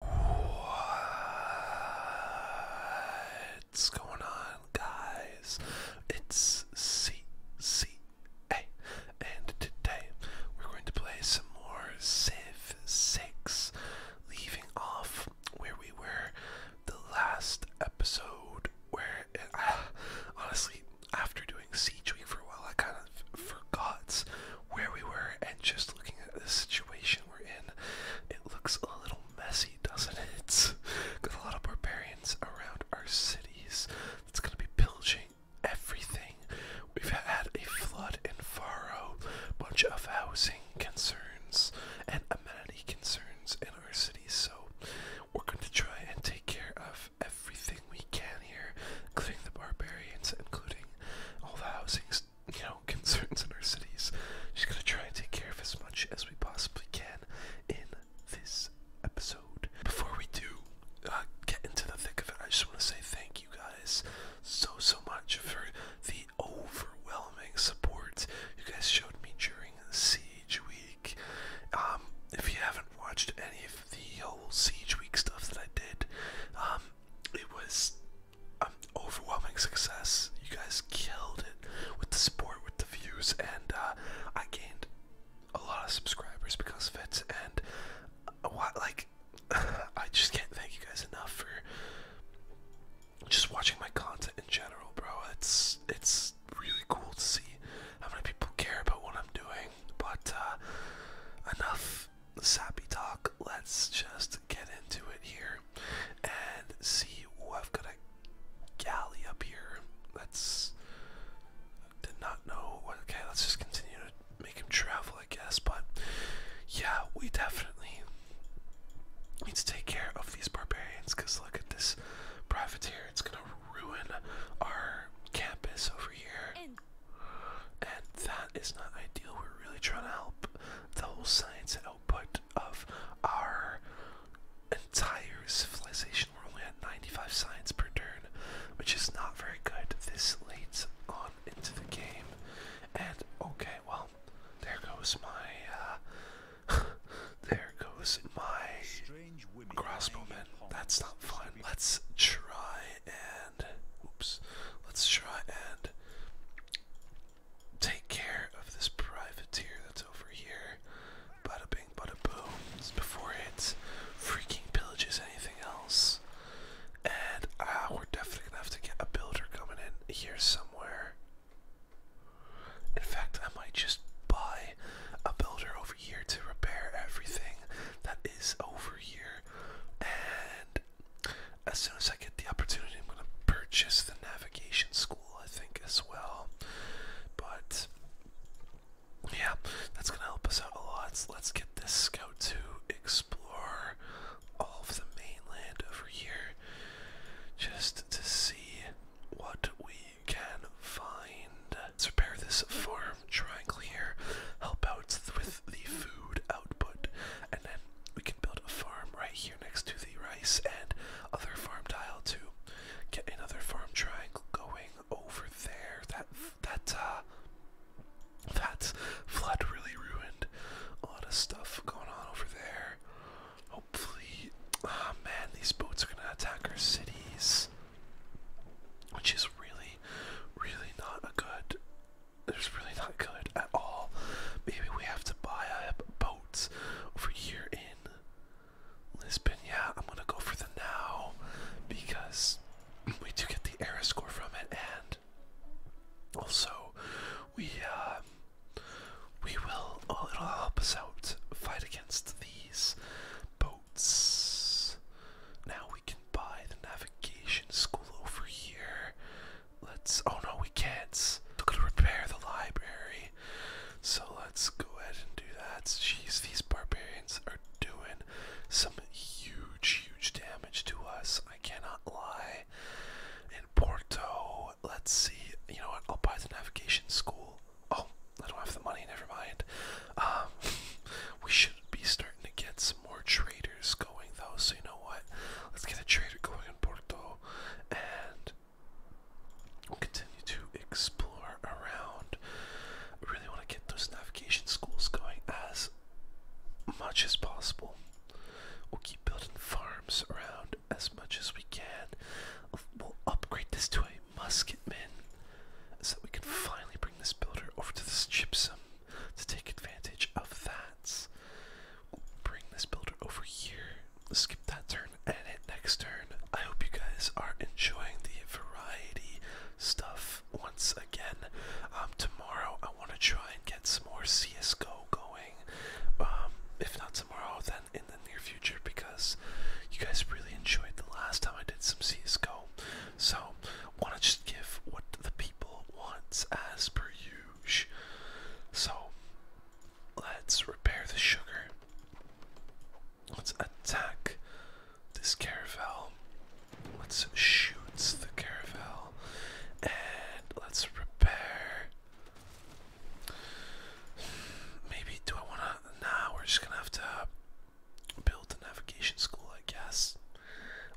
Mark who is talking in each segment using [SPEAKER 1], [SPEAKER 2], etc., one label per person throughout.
[SPEAKER 1] What's going on, guys? It's CCA, and today we're going to play some more Civ 6, leaving off where we were the last episode. Where uh, honestly, after doing Siege Week for a while, I kind of forgot where we were and just looking at the situation we're in, it looks a little messy, doesn't it? Got a lot of barbarians around our cities. That's gonna be pillaging everything. We've had a flood in Faro, A bunch of housing concerns and amenity concerns in our cities. so we're going to try and take care of everything we can here, including the barbarians, including all the housing you know, concerns in our cities. Just gonna try and take care of as much as we possibly can in this episode. Before we do uh, get into the thick of it, I just want to say thank you guys so so much for the overwhelming support you guys showed me during Siege Week. Um, if you haven't watched any of the whole Siege Week stuff that I did, um, it was um, overwhelming success. You guys killed it with the support, with the views, and uh, I gained a lot of subscribers because of it. And uh, what, like, I just can't thank you guys enough for just watching my content in general, bro. It's it's really cool to see how many people care about what I'm doing. But uh, enough sappy talk. Let's just get into it here and see. what I've got a galley up here. Let's. Did not know. Okay, let's just continue to make him travel, I guess. But yeah, we definitely need to take care of these barbarians because look at this privateer. It's gonna ruin our campus over here. And that is not ideal. We're really trying to help the whole science output of our entire civilization. We're only at 95 science per turn, which is not very good this leads on into the game. And okay, well, there goes my, uh, there goes my crossbowman. That's not fun. Let's try and oops, let's try and take care of this privateer that's over here. Bada bing, bada boom. It's before it freaking pillages anything else. And ah, we're definitely gonna have to get a builder coming in here somewhere. In fact, I might just buy a builder over here to repair everything that is over here. And as soon as I get the opportunity, I'm going to purchase the navigation school, I think, as well. But yeah, that's going to help us out a lot. let's get this scout to explore all of the mainland over here just to see what we can find. Let's repair this farm triangle here, help out with the food output, and then we can build a farm right here next to the rice and other farm tile to get another farm triangle going over there. That that uh, that flood really ruined a lot of stuff going on over there. Hopefully, ah man, these boats are gonna attack our cities, which is really, really not a good it's really not good at all. Maybe we have to buy up boats over here in Lisbon. Yeah, I'm gonna go for the now because we do get the era score from it, and also we uh, we will. Oh, it'll help us out fight against these boats. Now we can buy the navigation school over here. Let's. Oh no, we can't. We're gonna repair the library. So let's go ahead and do that. Geez, these barbarians are doing some huge, huge damage to us. I cannot lie. In Porto, let's see. You know what? I'll buy the navigation school. Oh, I don't have the money. Never mind. Um, we should be starting to get some more traders traders going though, so you know what? Let's get a trader going in Porto and we'll continue to explore around. I really want to get those navigation schools going as much as possible. We'll keep building farms around as much as we can. We'll upgrade this to a musketman so we can finally bring this builder over to this gypsum to take advantage of that. Bring this builder over here, skip that turn, and hit next turn. I hope you guys are enjoying the variety stuff once again. Um, tomorrow I want to try and get some more CSGO going. Um, if not tomorrow, then in the near future because you guys really enjoyed the last time I did some CSGO. So, want to just give what the people wants as per usual. So, let's repair the sugar. Let's attack this caravel. Let's shoot the caravel. And let's repair. Maybe do I wanna Now we're just gonna have to build a navigation school I guess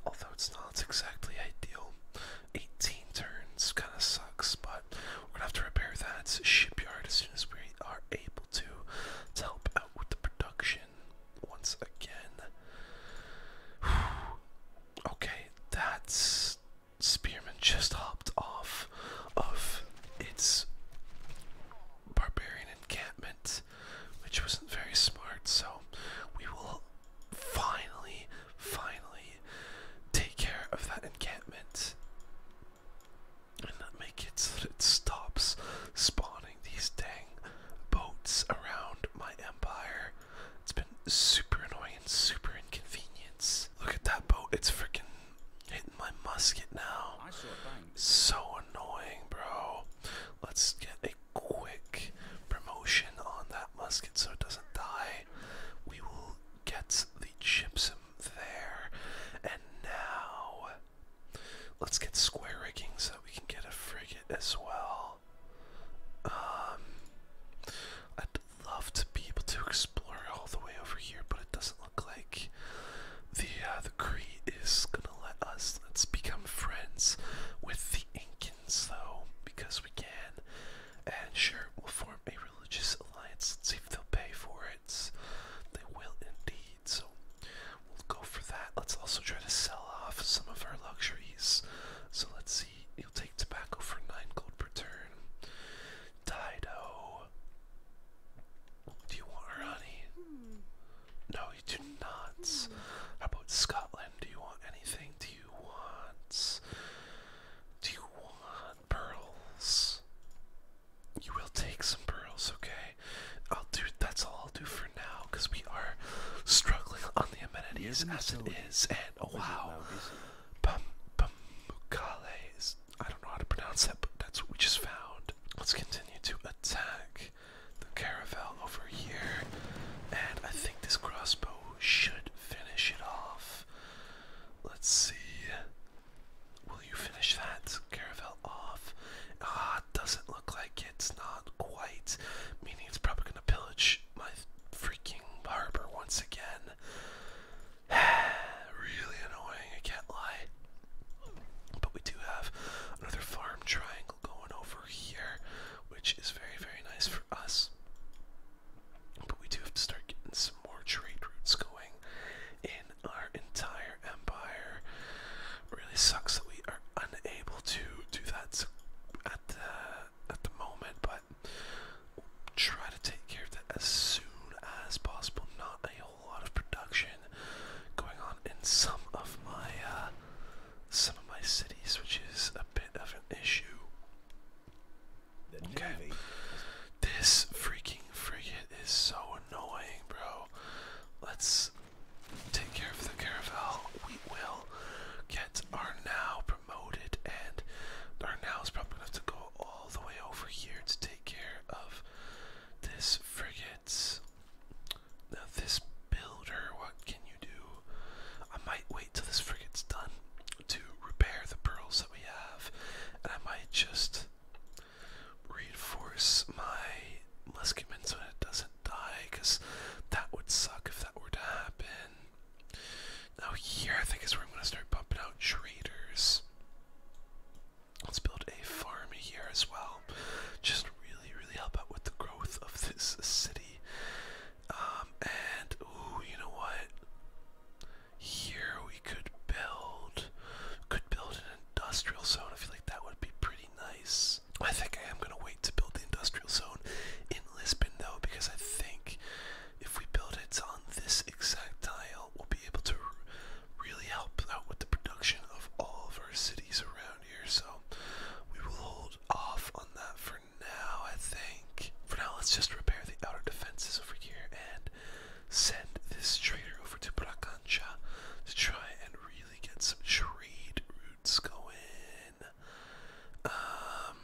[SPEAKER 1] although it's not exactly ideal. 18 turns kind of sucks, but we're gonna have to repair that shipyard as soon as we are able to to help out with the production once again. okay, that's spearman just hopped off of its barbarian encampment which wasn't very smart. So we will finally, finally take care of that encampment and make it so it stops spawning these dang boats around my empire. It's been super annoying super inconvenience. Look at that boat, it's freaking hitting my musket now. So annoying, bro. Let's get a quick promotion on that musket so it doesn't die. We will get the gypsum there. And now, let's get square rigging so we can get a frigate as well. Um, I'd love to be able to explore all the way over here, but it doesn't look like the uh, the Cree is gonna let us. Let's become friends with the Incan Americans, because we can. And sure, we'll form a religious alliance Let's see if they'll pay for it. They will indeed, so we'll go for that. Let's also try to sell off some of our luxuries. So let's see, you'll take tobacco for 9 gold per turn. Dido. Do you want her honey? Hmm. No, you do not. How about Scotland? Do you want anything? Do you want. Do you want pearls? You will take some pearls, okay? I'll do. That's all I'll do for now, because we are struggling on the amenities as it is. And oh wow, Bamukale is. I don't know how to pronounce that, but that's what we just found. Let's continue to attack the caravel over here, and I think this crossbow should finish it off. Let's see. Will you finish that caravel off? Ah, doesn't look like it's not quite. Meaning it's probably gonna pillage my freaking harbor once again. really annoying, I can't lie. But we do have another farm triangle going over here which is very, very nice for us. But we do have to start getting some more trade routes going in our entire empire. really sucks that we are unable to do that at the at the moment, but try to take care of that as soon as possible. Not a whole lot of production going on in some of my uh, some of my cities, which is a bit of an issue. Okay. This freaking frigate is so annoying, bro. Let's take care of the caravel. We will get our now promoted, and our now is probably gonna have to go all the way over here to take care of this frigate's. Now this builder, what can you do? I might wait till this frigate's done to repair the pearls that we have, and I might just reinforce my musketmen so it doesn't die, because that would suck if that were to happen. Now here I think is where I'm gonna start pumping out traders. Let's build a farm here as well just really, really help out with the growth of this city. Um, and ooh, you know what? Here we could build, could build an industrial zone. I feel like that would be pretty nice. I think I am gonna wait to build the industrial zone in Lisbon though, because I think if we build it on this exact tile, we'll be able to really help out with the production of all of our cities around here, so we will hold off on that for now, I think. For now, let's just repair the outer defenses over here and send this trader over to Bracancha to try and really get some trade routes going. Um,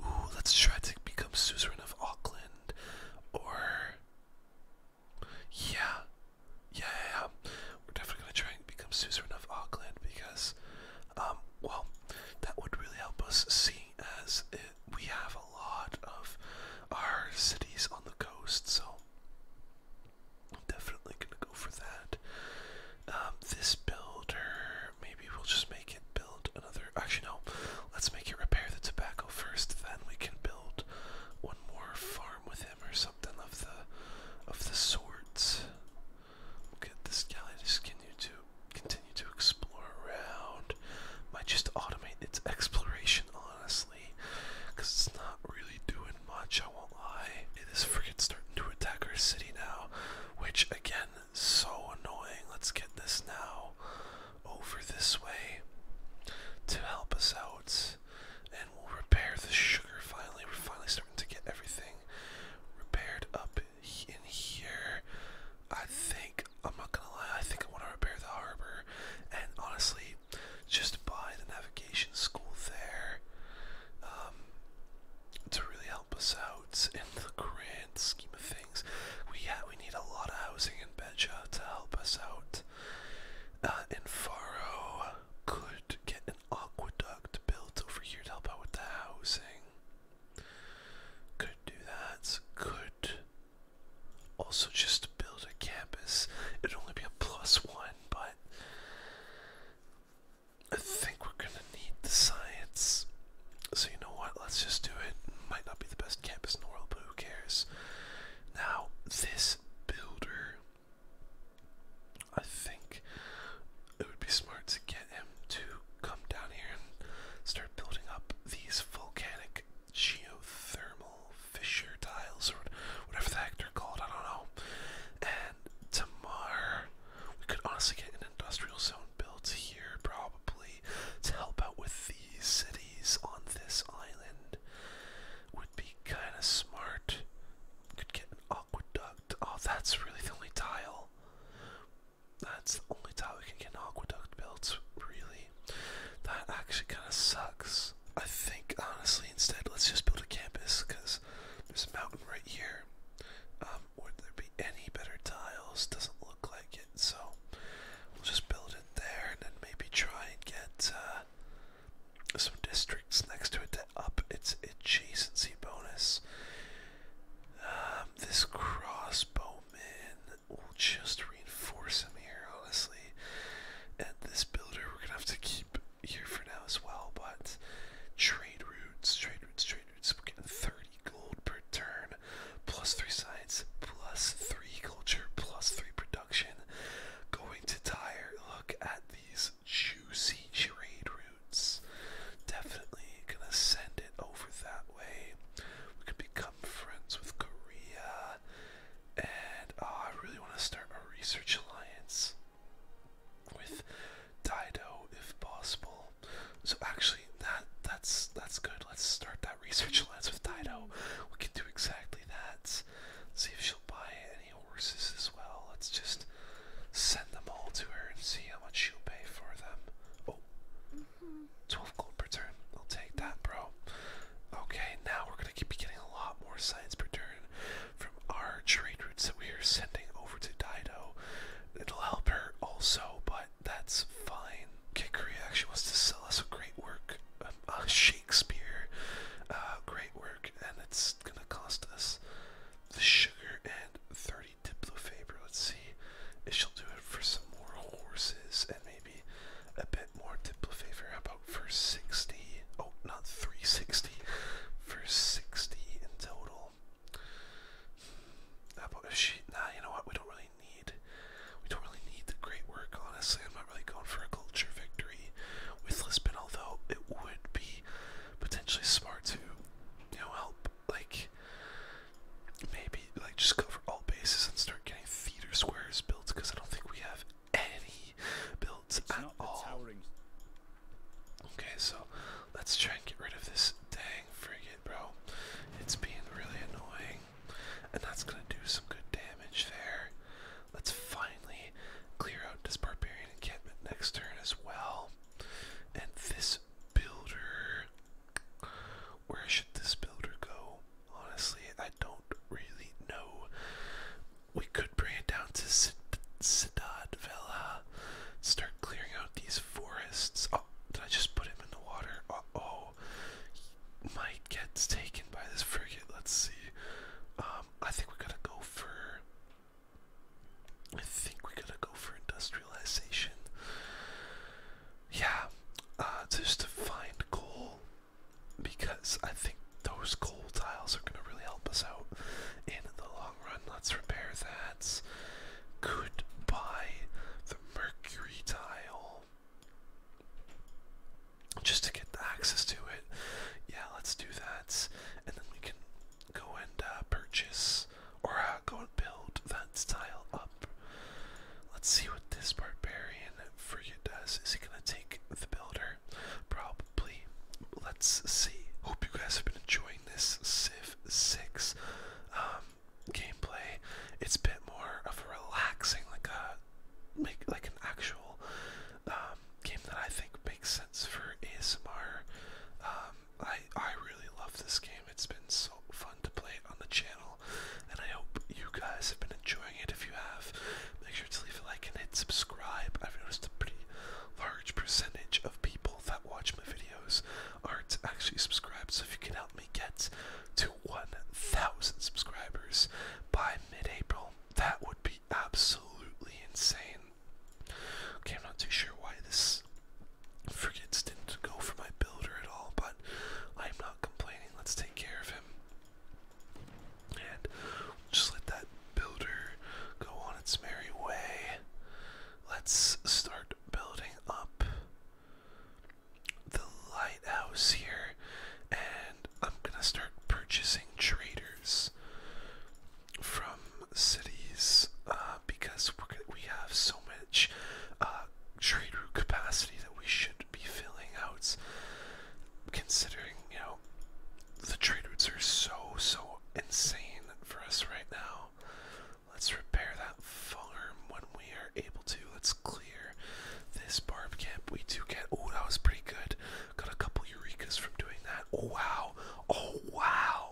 [SPEAKER 1] ooh, let's try to become suzerain of Auckland, or yeah, yeah, we're definitely gonna try and become suzerain of Auckland because, um, well, that would really help us, see as it, we have a lot of our cities on the coast. So I'm definitely gonna go for that. Um, this builder, maybe we'll just make it build another. Actually, no, let's make it repair the tobacco first. Then we can build one more farm with it or something of the of the sorts. Look this galley just continue to continue to explore around. Might just automate its exploration honestly. Cause it's not really doing much, I won't lie. It is freaking starting to attack our city now. Which again, so annoying. Let's get this now over this way to help us out and we'll repair the sugar finally. We're finally starting to get everything repaired up in here. I think, I'm not gonna lie, I think I want to repair the harbor and honestly, just buy the navigation school there um, to really help us out in the grand scheme of things. We, yeah, we need a lot of housing in Beja to help us out. Uh, and Faro could get aqueduct built over here to help out with the housing. Could do that. Could also just build a campus. It'd only be a plus one, but I think we're gonna need the science. So you know what? Let's just do it. Might not be the best campus in the world, but who cares? Now this builder I think it would be smart to get him to come down here and start building up these volcanic geothermal fissure tiles or whatever the heck they're called, I don't know. And tomorrow we could honestly get an industrial zone built here probably to help out with these cities on this island would be kinda smart. Could get aqueduct. Oh, that's really the only tile. That's the only tile we can get an aqueduct built, really. That actually kind of sucks. I think, honestly, instead, let's just build a campus, because there's a mountain right here. Um, would there be any better tiles? Doesn't look like it, so we'll just build it there and then maybe try and get, uh, some districts next to it to up its adjacency bonus. Um, this crossbowman will just reinforce him here, honestly. And this builder we're gonna have to keep here for now as well, but trade routes, trade routes, trade routes. We're getting 30 gold per turn, plus 3 science, plus 3 culture, plus 3 production. Going to tire. Look at the these juicy trade routes. Definitely gonna send it over that way. We could become friends with Korea. And uh, I really want to start a research alliance with Dido if possible. So actually that that's that's good. Let's start that research alliance with Dido. We can do exactly that. See if she'll buy horses as well. Let's just send them all to her and see how much she'll pay for them. Oh, 12 gold per turn. I'll take that, bro. Okay, now we're going to keep getting a lot more science per turn from our trade routes that we are sending over to Dido. It'll help her also, but that's fine. Kikri actually wants to sell us a great work, um, Shakespeare, uh, great work, and it's that's gonna cost us the sugar and 30 diplo favor. Let's see if she'll do it for some more horses and maybe a bit more diplo favor. about for 60? Oh, not 360. For 60 in total. How about Nah, you know what? We don't really need. We don't really need the great work. Honestly, I'm not really going for a culture victory with Lisbon, although it would be potentially smart to, you know, help like maybe like just cover all bases and start getting theater squares built because I don't think we have any built it's at all. Towering. Okay, so let's try and get rid of this dang frigate, bro. It's being really annoying, and that's gonna do some good damage there. Let's finally clear out this barbarian encampment next turn as well. And this builder. Where should this builder go? Honestly, I don't really know. We could bring it down to Sidad Villa, Start clearing out these forests. Oh, did I just put him in the water? Uh oh. He might get taken by this frigate. Let's see. Um, um, I think we're gonna go for. I think we're to go for industrialization. Yeah, uh, just to find coal because I think those coal tiles are gonna really help us out in the long run. Let's repair that. Could buy the mercury tile just to get access to it. Yeah, let's do that, and then we can go and uh, purchase or uh, go and build that style up. Let's see what this barbarian frigate does. Is he gonna take the builder? Probably. Let's see. Hope you guys have been enjoying this Civ 6 um, gameplay. It's a bit more of a relaxing, like a make like an actual um, game that I think makes sense for ASMR. Um, I I really love this game. It's been so fun to play it on the channel, and I hope you guys have been enjoying it. If you have, make sure to leave a like and hit subscribe. I've noticed a pretty large percentage of people that watch my videos aren't actually subscribed. So if you can help me get to 1,000 subscribers by mid-April, that would be absolutely insane. Okay, I'm not too sure why this frigates didn't go for my builder at all, but I'm not complaining. Let's take care of him. And just let that builder go on its merry way. Let's start building up the lighthouse here, and I'm gonna start purchasing traders from cities uh, because we have so much uh, trade route capacity that we should be filling out. Considering, you know, the trade routes are so, so insane for us right now. Let's repair that farm when we are able to. Let's clear this barb camp. We do get. Oh, that was pretty good. Got a couple eurekas from doing that. Oh wow. Oh wow.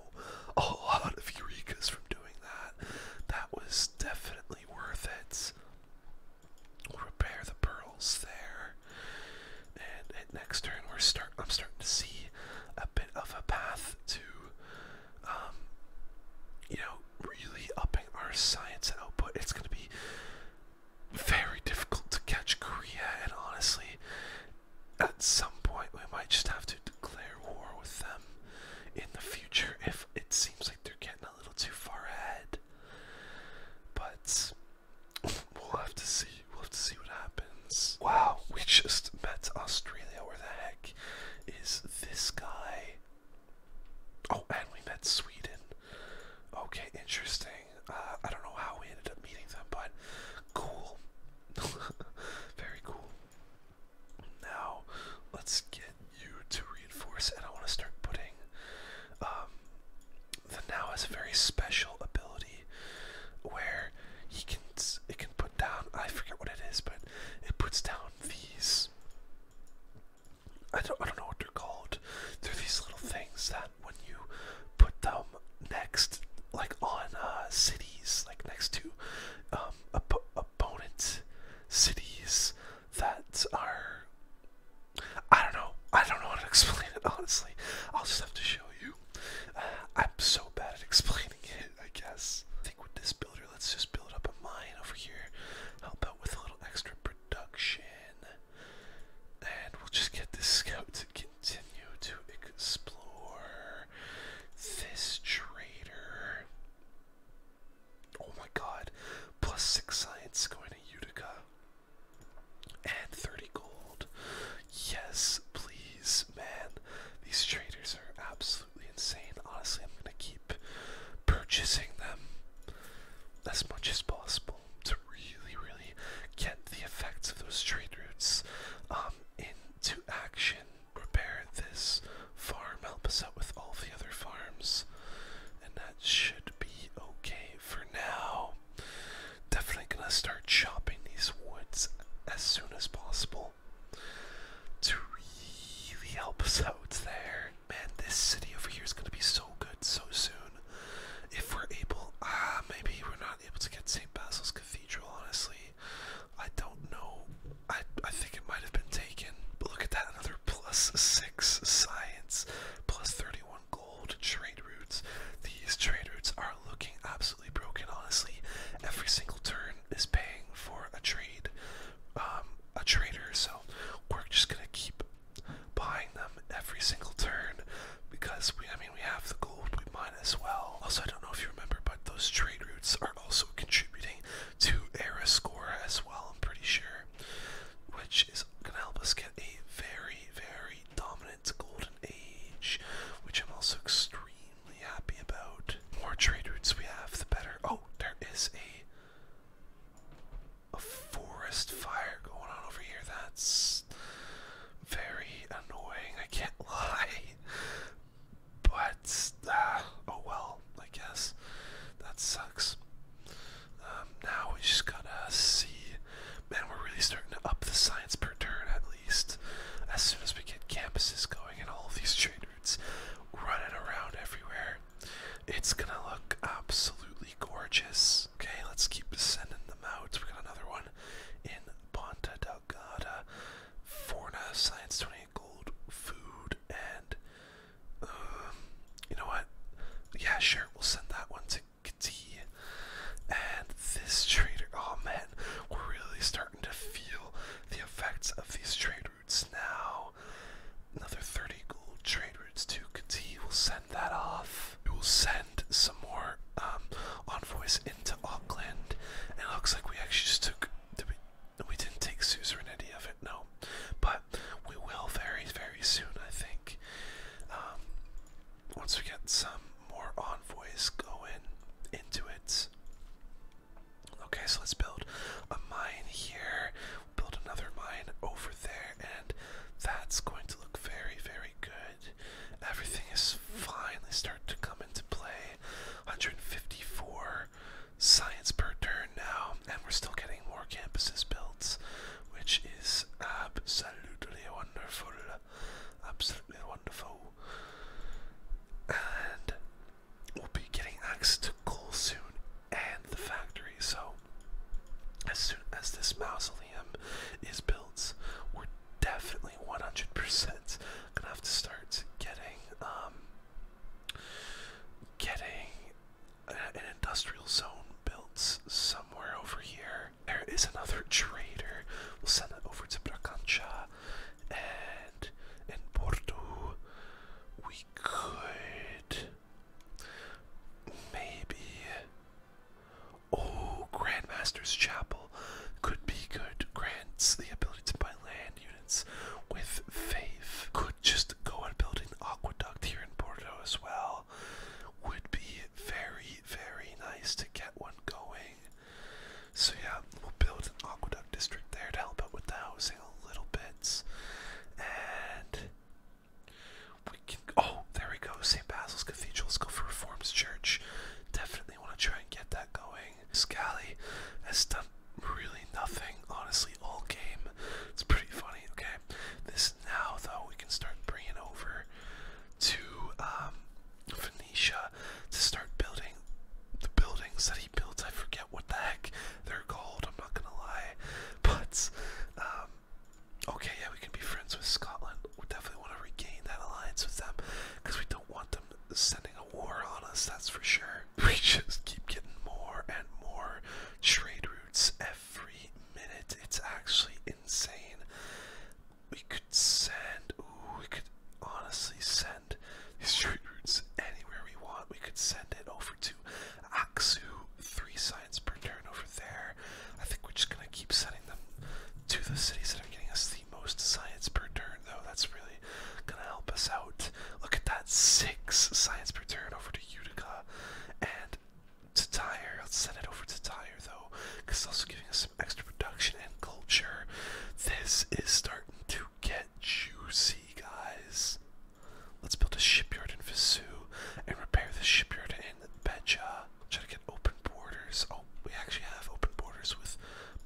[SPEAKER 1] A lot of eurekas from doing that. That was definitely worth it. We'll repair the pearls there. And, and next turn we're start I'm starting to see a bit of a path to um you know really upping our science output. It's gonna be very difficult to catch Korea, and honestly, at some point we might just have to declare war with them in the future if it seems like they're getting a little too far ahead. But we'll have to see. We'll have to see what happens. Wow, we just met Australia. Where the heck is this guy? Oh, and we met Sweden. Okay, interesting. Uh, I don't know how we ended up meeting them, but cool. Very cool. Now, let's get you to reinforce, and I want to start putting. Um, the now has a very special ability where he can it can put down. I forget what it is, but it puts down these. I don't I don't know what they're called. They're these little things that when you put them next, like on uh, cities, like next to um, opponent cities that are. I don't know. I don't know how to explain it honestly. I'll just have to show you. Uh, I'm so bad at explaining it. I guess. I think with this builder, let's just build up a mine over here. Help out with a little extra production. And we'll just get this scout to continue to explore this trader. Oh my god, plus six science going to Utica. And 30 gold. Yes, please, man. These traders are absolutely insane. Honestly, I'm gonna keep purchasing them as much as possible to really, really get the effects of those trade routes um, into action. Repair this farm, help us out with all the other farms, and that should be okay for now. Definitely gonna start chopping these woods as soon as possible to really help us out there. Man, this city over here is gonna be so good so soon. If we're able, ah, maybe we're not able to get St. Basil's Cathedral, honestly. I don't know. I, I think it might have been taken. But look at that, another plus 6 science, plus 31 gold trade routes. These trade routes are looking absolutely broken, honestly. Every single turn is paying for a trade, um, a trader, so we're just gonna keep buying them every single turn because we, I mean, we have the gold, we mine as well. Also, I don't know if you remember, but those trade routes are also contributing to era score as well, I'm pretty sure, which is gonna help us get a very, very dominant golden age, which I'm also extremely happy about. The more trade routes we have, the better. Oh, there is a a forest fire going on over here. That's very annoying, I can't lie. But, uh, oh well, I guess that sucks. Um, now we are just going to see. Man, we're really starting to up the science per turn at least. As soon as we get campuses going and all of these trade routes running around everywhere, it's gonna look absolutely gorgeous. Okay, let's keep sending them out. We got another one in Ponta Delgada. Forna, Science 20 Gold, Food, and um, you know what? Yeah, sure, we'll send that one to Kati. And this trader, oh man, we're really starting to feel the effects of these trade routes now. Another 30 gold trader neighborhoods too, because he will send that off. We will send some more um, envoys into Auckland, it looks like we actually just took. we, didn't take suzerainty of it, no. But we will very, very soon, I think. Um, once we get some more envoys going into it. Okay, so let's build a mine here. Build another mine over there and that's going to look very, very good. Everything is finally starting to come into play. 154 science per turn now, and we're still getting more campuses built, which is absolutely wonderful. Absolutely wonderful. And we'll be getting access to coal soon and the factory, so as soon as this mausoleum is built, we're definitely 100% gonna have to start getting um getting an industrial zone built somewhere over here. There is another trader. We'll send it over to Bracancha and in Porto. We could maybe Oh, Grandmaster's Chapel could be good. Grants the ability to buy land units with faith. Could just go and build an aqueduct here in Bordeaux as well. Would be very, very nice to get one going. So, yeah, we'll build an aqueduct district there to help out with the housing a little bit. And we can. Oh, there we go. St. Basil's Cathedral. Let's go for Reforms Church. Definitely want to try and get that going. Scally has done really nothing, honestly, all game. It's pretty funny. Okay, this now though we can start bringing over to um, Phoenicia to start building the buildings that he built. I forget what the heck they're called. I'm not gonna lie, but um, Okay, yeah, we can be friends with Scotland. We definitely want to regain that alliance with them because we don't want them sending a war on us, that's for sure. We just keep getting more and more trade routes every minute. It's actually insane. We could send, ooh, we could honestly send these trade routes anywhere we want. We could send it over to Axu three side signs per turn over there. I think we're just gonna keep sending them to the cities that are getting us the most science per turn, though. That's really gonna help us out. Look at that six science per turn over to Utica and to Tyre. Let's send it over to Tyre though, because it's also giving us some extra production and culture. This is starting to get juicy, guys. Let's build a shipyard in Vesu and repair the shipyard in in Try to get open borders. Oh, we actually have open borders with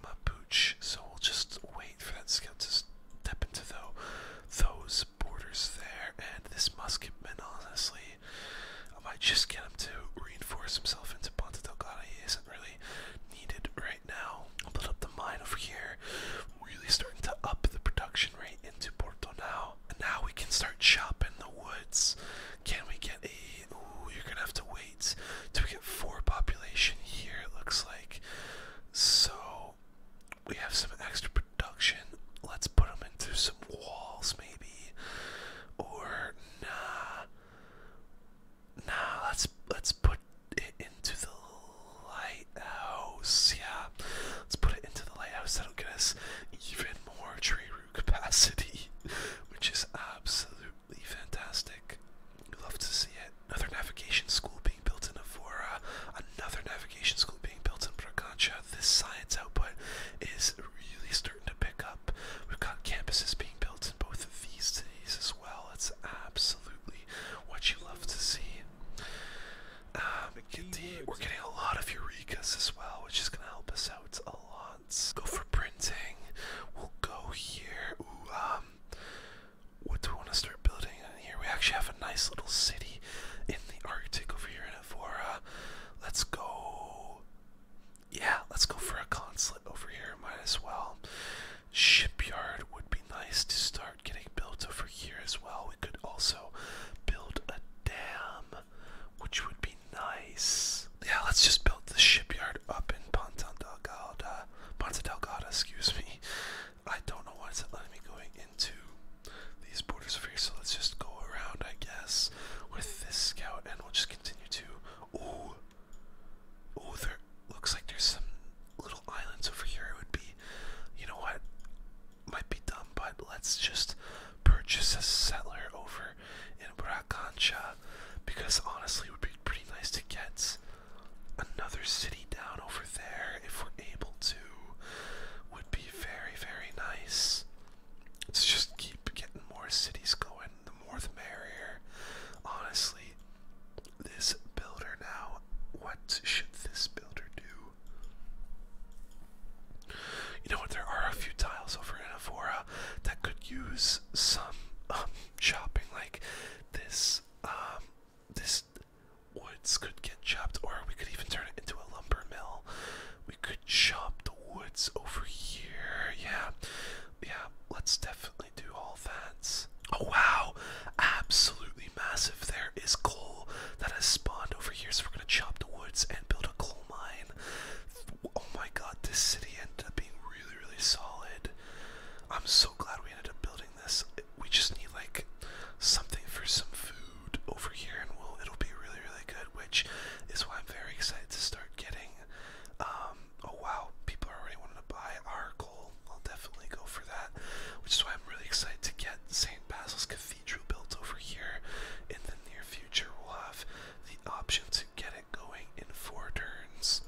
[SPEAKER 1] my pooch, so we'll just wait for that scout to step into those borders there. And this musketman, honestly, I might just get him to reinforce himself into Ponta Delgada. He isn't really needed right now. I'll build up the mine over here. Really starting to up the production confectionery into Porto now. And now we can start chopping the woods. Can we get a. Ooh, you're gonna have to wait till we get four population here, it looks like. So, we have some extra production. Let's put them into some walls, maybe. Or, nah. Nah, let's, let's put it into the lighthouse. Yeah, Let's put it into the lighthouse. That'll get us even more tree root capacity, which is absolutely fantastic. We love to see it. Another navigation school being built in Avora. Another navigation school being built in Bragancha. This science output is really starting to pick up. We've got campuses being built in both of these cities as well. It's absolutely what you love to see. Um, we're getting a lot of Eurekas as well, which is gonna help us out a lot. go for printing. We'll go here. um, what do we want to start building in here? We actually have a nice little city in the Arctic over here in Evora. Let's go. Yeah, let's go for a consulate over here. Might as well. Shipyard would be nice to start getting built over here as well. Oh, could also build a dam, which would be nice. Yeah, let's just build the shipyard up in Ponta Delgada. Ponta Delgada, excuse me. I don't know why it's letting me going into these borders over here, so let's just go around, I guess, with this scout, and we'll just continue to. Ooh, oh, there looks like there's some little islands over here. It would be, you know what? might be dumb, but let's just purchase a settler over in Bracancha because honestly, it would be pretty nice to get another city down over there if we're able to. Would be very, very nice. Let's just keep getting more cities going. The more the merrier. Honestly, this builder now. What should this builder do? You know what? There are a few tiles over in Avora that could use some um, chopping, like this. Um, this woods could get chopped, or we could even turn it into a lumber mill. We could chop the woods over here. Yeah, yeah. Let's definitely do all that. Oh wow! Absolutely massive. There is coal that has spawned over here, so we're gonna chop the woods and build a coal mine. Oh my god, this city ended up being really, really solid. I'm so glad we ended up building this. We just need like something for some food over here, and we'll it'll be really, really good. Which is why I'm very excited to start getting. Um, oh wow, people are already wanting to buy our coal. I'll definitely go for that. Which is why I'm really excited to get St. Basil's Cathedral cathedral built over here. In the near future, we'll have the option to get it going in four turns,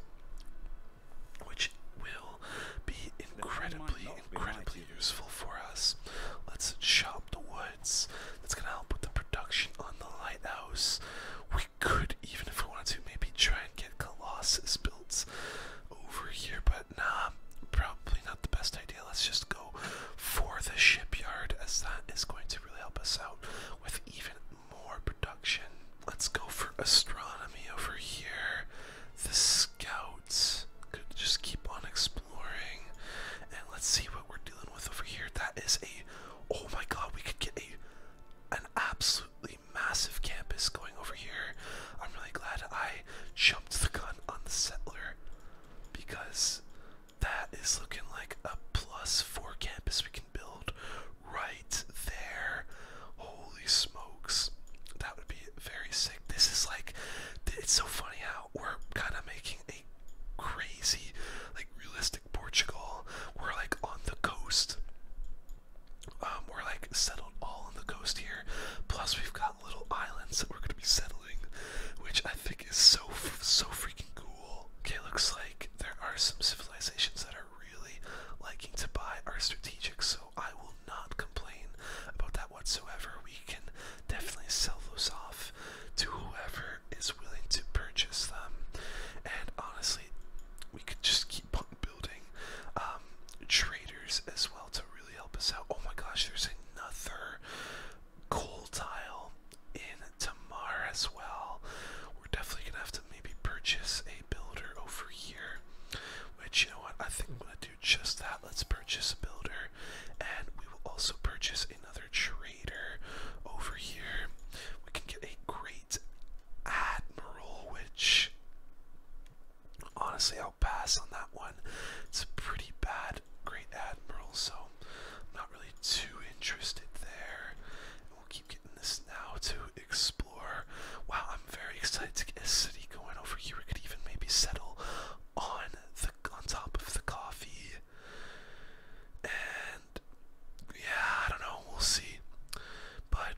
[SPEAKER 1] which will be incredibly, incredibly useful for us. Let's chop the woods. That's gonna help with the production on the lighthouse. We could, even if we wanted to, maybe try and get Colossus built over here but it. probably not the best idea. Let's just go for the shipyard, as that is going to really help us out with even more production. Let's go for astronomy over here. The scouts could just keep on exploring. And let's see what we're dealing with over here. That is a oh my god, we could get a an absolutely massive campus going over here. I'm really glad I jumped the gun on the settler because that is looking like a plus four campus we can build right there. Holy smokes. That would be very sick. This is like, it's so funny how we're kind of making a crazy, like realistic Portugal. We're like on the coast. Um, we're like settled all on the coast here. Plus, we've got little islands that we're going to be settled which I think is so so freaking cool. Okay, looks like there are some civilizations that are really liking to buy our strategic, so I will not complain about that whatsoever. We can definitely sell those off to whoever is willing to purchase them, and honestly, we could just keep on building um, traders as well to really help us out. Oh my gosh, there's another coal tile in Tamar as well. We're definitely gonna have to maybe purchase a builder over here. Which you know what? I think I'm gonna do just that. Let's purchase a builder, and we will also purchase another trader over here. We can get a great admiral, which honestly, I'll pass on that one. It's a pretty bad Great Admiral, so I'm not really too interested there. And we'll keep getting this now to explore. Wow, I'm very excited to get a city going over here. We could even maybe settle on the on top of the coffee. And yeah, I don't know. We'll see. But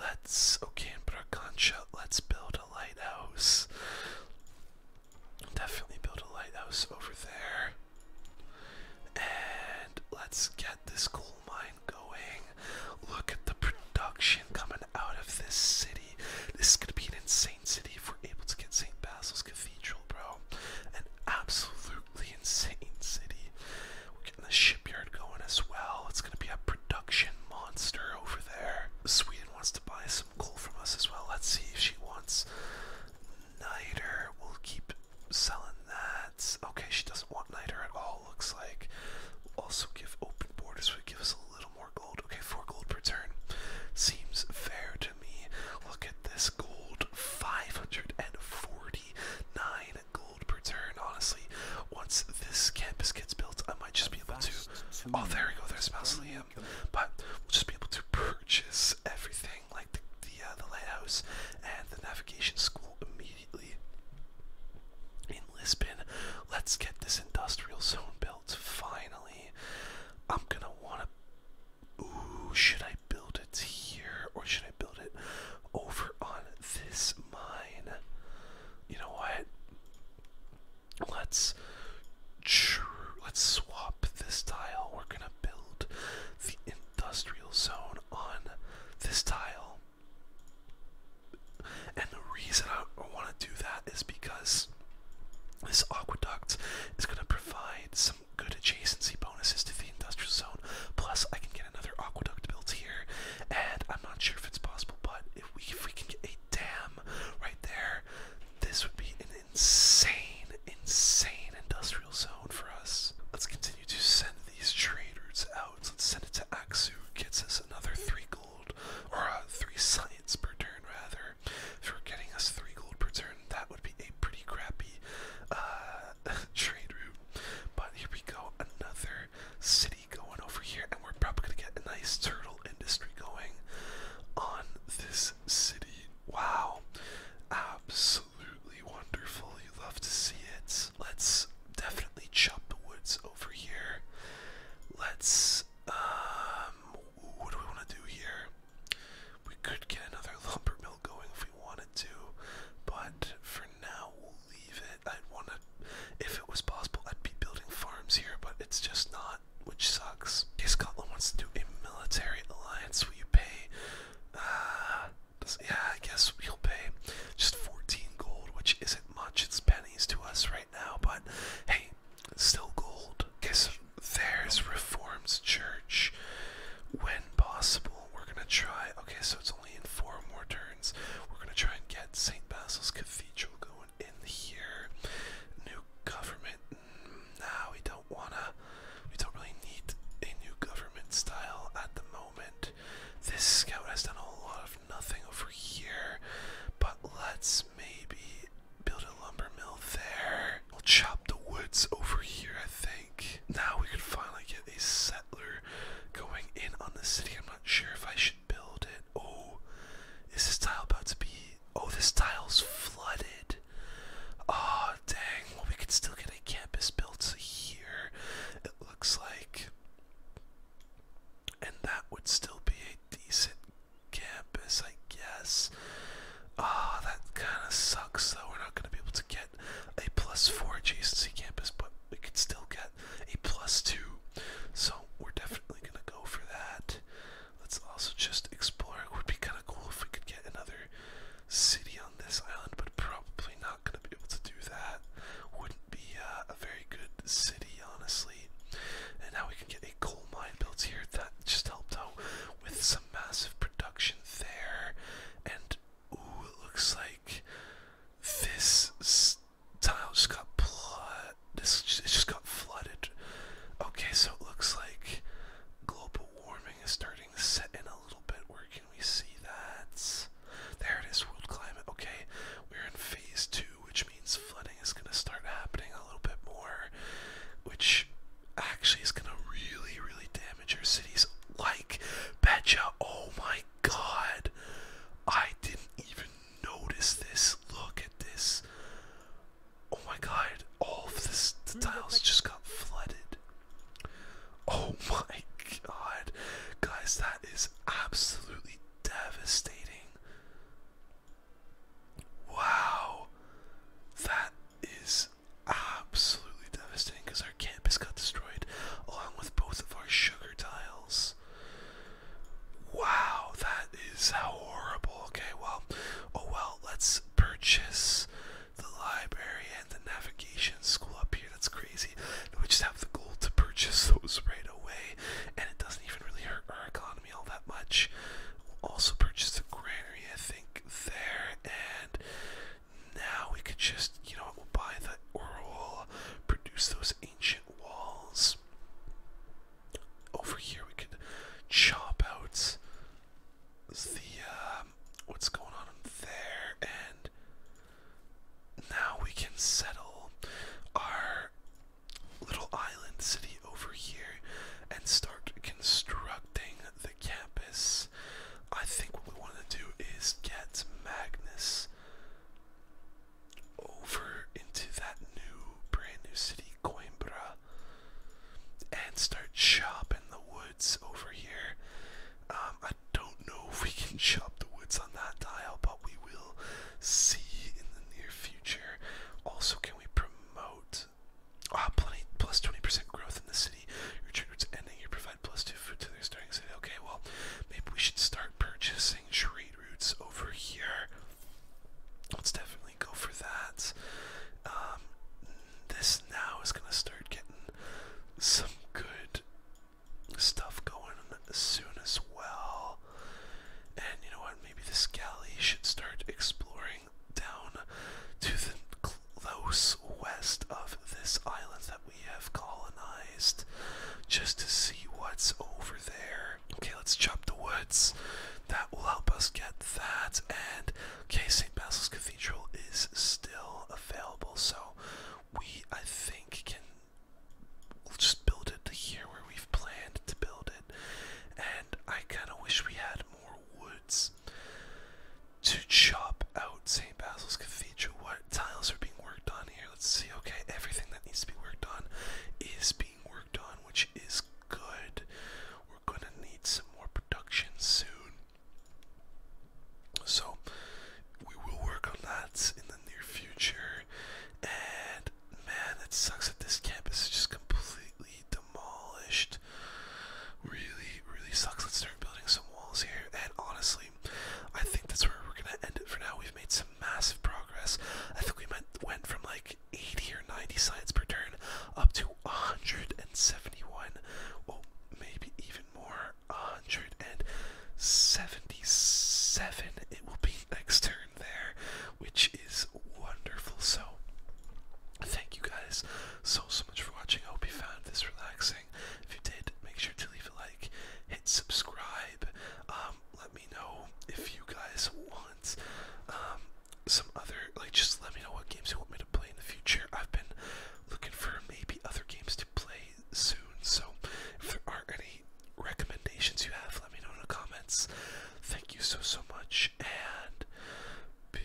[SPEAKER 1] let's okay Let's build a lighthouse. Definitely build a lighthouse over there. And let's get this coal mine going. Look at the production coming out of this city. This is gonna be an insane city if we're able to get St. Basil's Cathedral, bro. An absolutely insane city. We're getting the shipyard going as well. It's gonna be a production monster over there. Sweden wants to buy some some coal from us as well. Let's see if she wants niter. We'll keep selling that. Okay, she doesn't want niter at all, looks like. also give open borders, would give us a little more gold. Okay, four gold per turn. Seems fair to me. Look at this gold 549 gold per turn. Honestly, once this campus gets built, I might just be able to. Oh, there we go. There's Mausoleum but we'll just be able to purchase everything like the uh, the lighthouse and the navigation school immediately in Lisbon. Let's get this industrial zone built finally. I'm gonna wanna. Ooh, should I build it here or should I build it over on this mine? You know what? Let's let's swap this tile. We're gonna build the industrial zone on this tile. And the reason I want to do that is because this aqueduct is going to provide some good adjacency bonuses to the industrial zone. Plus, I can get another aqueduct built here, and I'm not sure if it's possible, but if we if we can get a dam right there, this would be an insane, insane industrial zone for us. Let's continue to send these trade routes out. Let's send it to Axu. gets us another three gold or uh, three science per turn rather. If we're getting us three gold per turn, that would be a pretty crappy uh, trade route. But here we go, another city going over here, and we're probably gonna get a nice turtle industry going on this city. Wow, absolutely wonderful. You love to see it. Let's definitely chop the woods over here. Let's um, what do we want to do here? We could get another lumber mill going if we wanted to, but for now we'll leave it. I'd want to, if it was possible, I'd be building farms here, but it's just not which sucks. Okay, Scotland wants to do a military alliance. Will you pay? Uh, does, yeah, I guess we'll pay just 14 gold, which isn't much. It's pennies to us right now, but hey, it's still gold. Okay, there's Reforms Church. When possible, we're gonna try. Okay, so it's only in four more turns. We're gonna try and get St. Basil's Cathedral going in here. New government. Nah, we don't wanna. We don't really need a new government style at the moment. This scout has done a lot of nothing over here, but let's maybe build a lumber mill there. We'll chop the woods over here, I think. Now we can finally get a settler going in on the city. I'm not sure if I should build it. Oh, is this tile about to be? Oh, this tile's flooded. Oh, dang. Well, we could still get a campus built here, it looks like. And that would still be a decent campus, I guess. Ah, that kind of sucks, though. We're not going to be able to get a plus four adjacency campus, but we could still get a plus two. So we're definitely gonna go for that. Let's also just explore. It would be kind of cool if we could get another city on this island, but probably not gonna be able to do that. Wouldn't be uh, a very good city, honestly. And now we can get a coal mine built here. That just helped out with some massive production there. And ooh, it looks like this tile just got flooded. This it just got flooded. Okay, so it looks like global warming is starting to set in a little bit. Where can we see that? There it is, world climate. Okay, we're in phase two, which means flooding is going to start happening a little bit more, which actually is going to really, really damage our cities. Like, betcha, oh my god, I didn't even notice this. Look at this. Oh my god, all of this, the tiles just got flooded. Oh my god. Guys, that is absolutely devastating. Wow. That is absolutely devastating because our campus got destroyed along with both of our sugar tiles. Wow, that is horrible. Okay, well, oh well, let's purchase the library and the navigation school up here. That's crazy. And we just have the goal to purchase those right away, and it doesn't even really hurt our economy all that much. We'll also purchase the granary, I think, there, and now we could just, you know what, we'll buy the oral, produce those ancient walls over here we could chop out the um, what's going on there and now we can settle our little island city over here and start constructing the campus. I think what we want to do is get Magnus over into that new, brand new city, Coimbra, and start chopping the woods over here. Um, I don't know if we can chop the woods on that dial, but we will see in the near future. Also, can we promote? Ah, plenty plus 20% growth in the city. Your trade routes ending. You provide plus two food to their starting city. Okay, well, maybe we should start purchasing trade routes over here let's definitely go for that. Um, this now is gonna start getting some good stuff going soon as well. And you know what? Maybe this galley should start exploring down to the close west of this island that we have colonized just to see what's over there. Okay, let's chop the woods. That will help us get that. And okay, St. Basil's Cathedral is still available, so we I think can we'll just build it to here where we've planned to build it. And I kind of wish we had more woods to chop out St. Basil's Cathedral. What tiles are being worked on here? Let's see. Okay, everything that needs to be worked on is being worked on, which is good. We're gonna need some more production soon. So, we will work on that in the near future. And man, it sucks that this camp is just completely demolished. Really, really sucks. Let's start building some walls here. And honestly, I think that's where we're gonna end it for now. We've made some massive progress. I think we went from like 80 or 90 sides per turn up to 171, well, maybe even more, 177 it will be next turn there, which is wonderful. So, thank you guys so, so much for watching. I hope you found this relaxing. If you did, make sure to leave a like, hit subscribe, um, let me know if you guys want um, some other, like, just let me know what games you want me to play in the future. I've been looking for maybe other games to play soon, so if there are any recommendations you have, let me know in the comments. Thank you so, so much, and peace.